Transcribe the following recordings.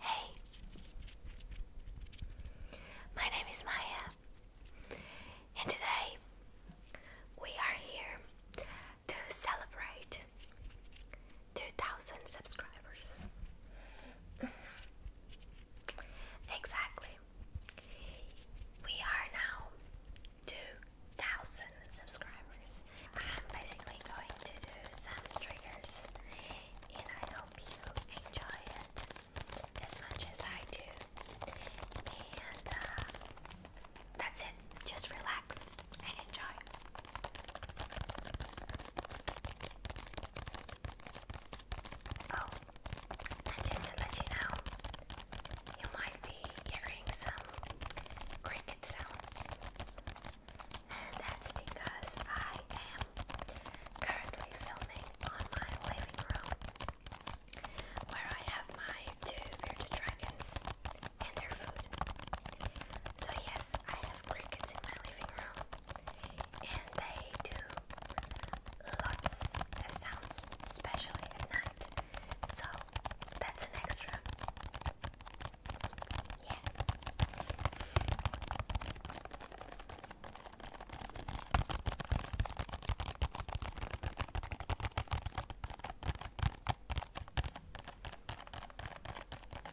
Hey, my name is Maya, and today we are here to celebrate 2000 subscribers. exactly. We are now 2000 subscribers. I'm basically going to do some triggers and I hope you enjoy it as much as I do. And uh, that's it. Just relax. Oh, and just to let you know, you might be hearing some cricket sounds, and that's because I am currently filming on my living room where I have my two bearded dragons and their food. So, yes, I have crickets in my living room, and they do lots of sounds, especially at night. So, that's an extra. Yeah.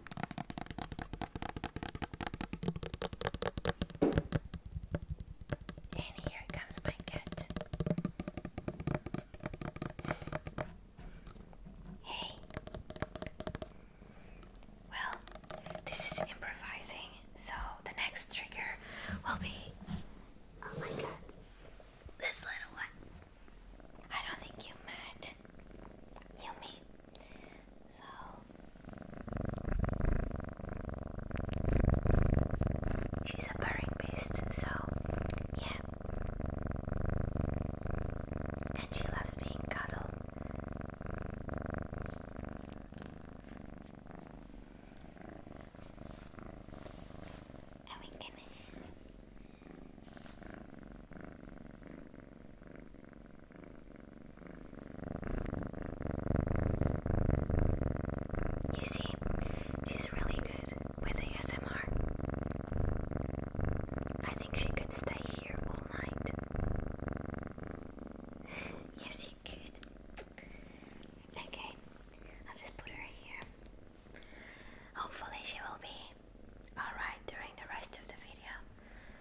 And here comes my cat. Hey. Well, this is improvising, so the next trigger will be. Oh my god. This little one. I don't think you met Yumi. So she's a purring beast, so yeah. And she loves being cuddled. Are we going you see, she's really good with the ASMR. I think she could stay here all night. yes, you could. Okay, I'll just put her here. Hopefully, she will be alright during the rest of the video.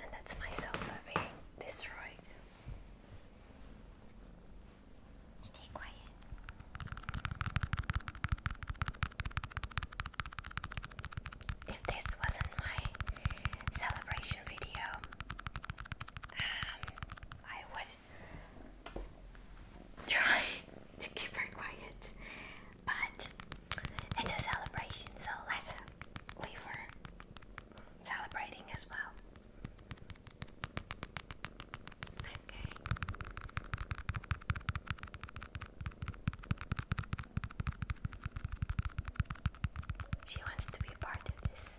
And that's my sofa being destroyed. Stay quiet. If this wasn't my celebration video, um, I would try to keep her quiet, but it's a celebration, so let's leave her celebrating as well. Okay. She wants to be part of this.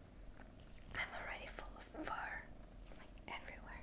I'm already full of fur, like everywhere.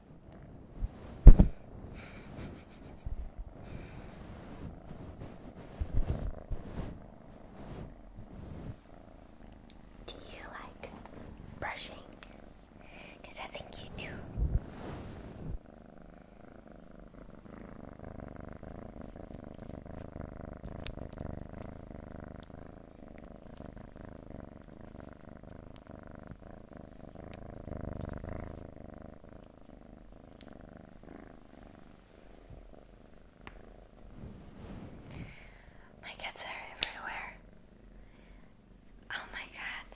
Do you like brushing? Because I think you do. My cats are everywhere. Oh my god.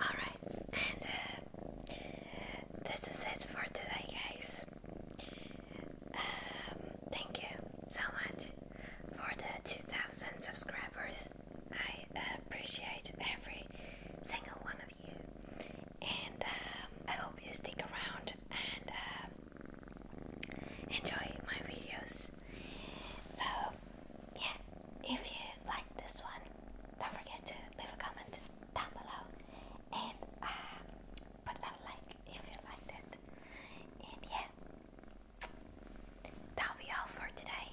Alright, and uh, this is it for today, guys. Um, thank you so much for the 2000 subscribers. I appreciate every single one of you, and um, I hope you stick around and uh, enjoy my videos. So, yeah, if you like this one, don't forget to leave a comment down below and um, put a like if you liked it. And yeah, that'll be all for today.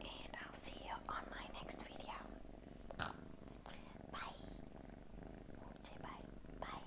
And I'll see you on my next video. Bye. Say bye. Bye.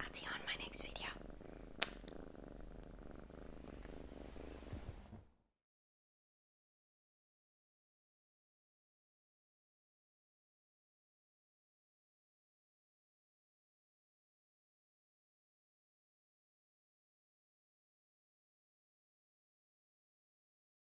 I'll see you on my next video.